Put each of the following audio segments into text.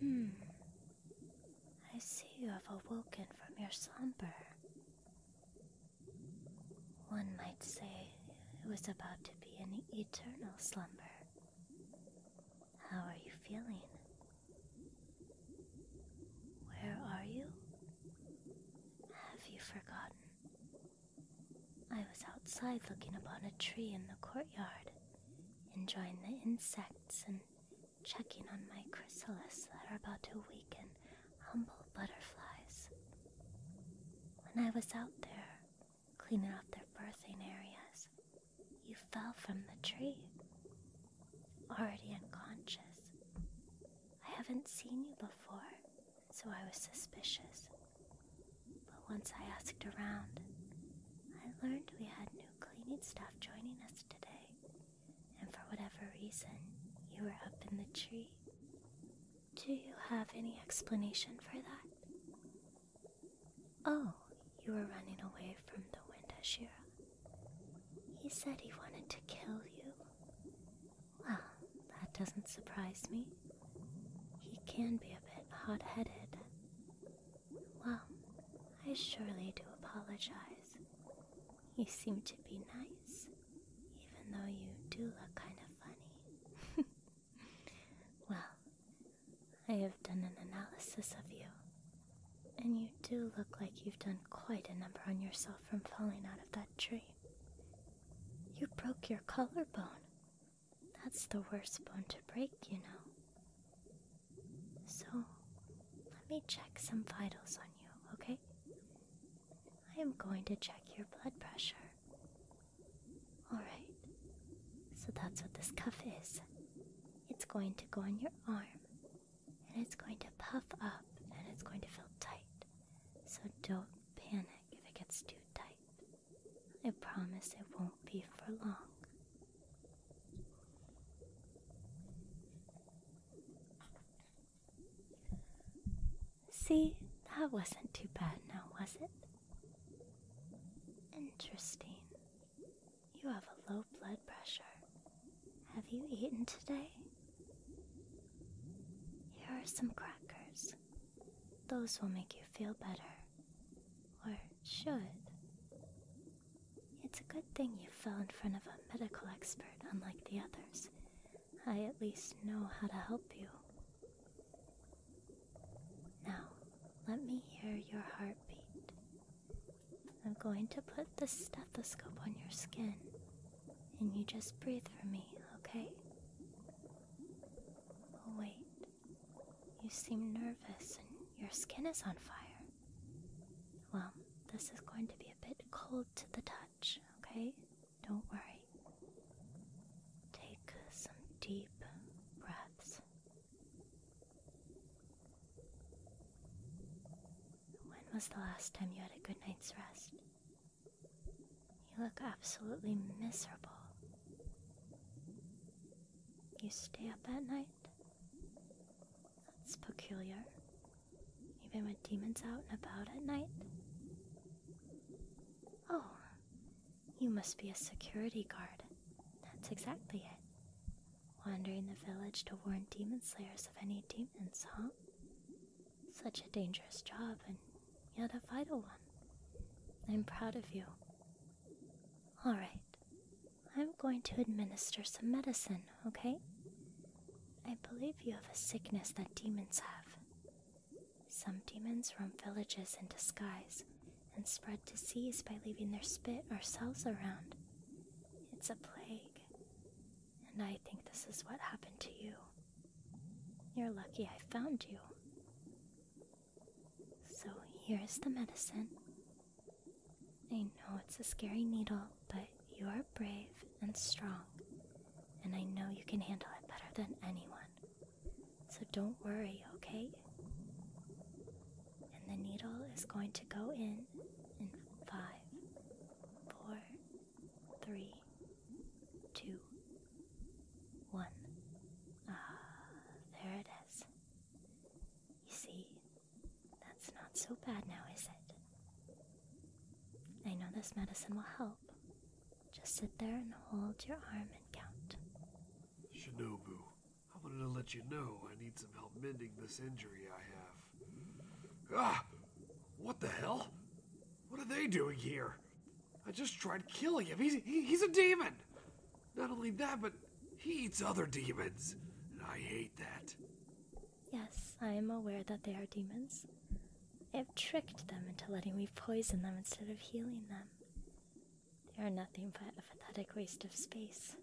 Hmm. I see you have awoken from your slumber. One might say it was about to be an eternal slumber. How are you feeling? Where are you? Have you forgotten? I was outside looking upon a tree in the courtyard, enjoying the insects and checking on my chrysalis that are about to weaken humble butterflies. When I was out there, cleaning up their birthing areas, you fell from the tree. Already unconscious. I haven't seen you before, so I was suspicious. But once I asked around, I learned we had new cleaning staff joining us today, and for whatever reason, you were up in the tree. Do you have any explanation for that? Oh, you were running away from the wind, Ashira. He said he wanted to kill you. Well, that doesn't surprise me. He can be a bit hot headed. Well, I surely do apologize. You seem to be nice, even though you do look kind of funny. Well, I have done an analysis of you, and you do look like you've done quite a number on yourself from falling out of that tree. You broke your collarbone. That's the worst bone to break, you know. So, let me check some vitals on you, okay? I am going to check your blood pressure. Alright, so that's what this cuff is. It's going to go on your arm, and it's going to puff up, and it's going to feel tight. So don't panic if it gets too tight. I promise it won't be for long. See, that wasn't too bad now, was it? Interesting. You have a low blood pressure. Have you eaten today? Here are some crackers. Those will make you feel better. Or should. It's a good thing you fell in front of a medical expert, unlike the others, I at least know how to help you. Now, let me hear your heartbeat. I'm going to put the stethoscope on your skin, and you just breathe for me, okay? Oh, wait. You seem nervous, and your skin is on fire. Well, this is going to be a bit cold to the touch okay? Don't worry. Take some deep breaths. When was the last time you had a good night's rest? You look absolutely miserable. You stay up at night? That's peculiar. Even with demons out and about at night? Oh, you must be a security guard. That's exactly it. Wandering the village to warn demon slayers of any demons, huh? Such a dangerous job, and yet a vital one. I'm proud of you. Alright, I'm going to administer some medicine okay? I believe you have a sickness that demons have. Some demons roam villages in disguise and spread disease by leaving their spit or cells around. It's a plague, and I think this is what happened to you. You're lucky I found you. So here's the medicine. I know it's a scary needle, but you are brave and strong, and I know you can handle it better than anyone. So don't worry, okay? And the needle is going to go in in five, four, three, two, one. Ah, there it is. You see, that's not so bad now, is it? I know this medicine will help. Just sit there and hold your arm and count. Shinobu, I wanted to let you know I need some help mending this injury I have. Ah! What the hell? What are they doing here? I just tried killing him. He's, he's a demon! Not only that, but he eats other demons, and I hate that. Yes, I am aware that they are demons. I have tricked them into letting me poison them instead of healing them. They are nothing but a pathetic waste of space,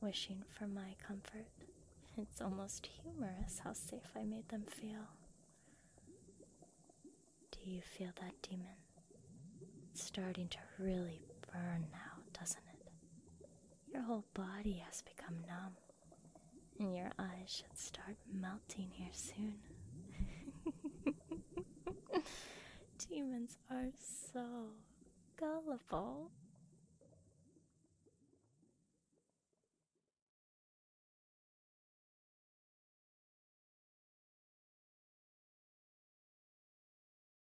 wishing for my comfort. It's almost humorous how safe I made them feel. Do you feel that demon? It's starting to really burn now, doesn't it? Your whole body has become numb, and your eyes should start melting here soon. Demons are so gullible.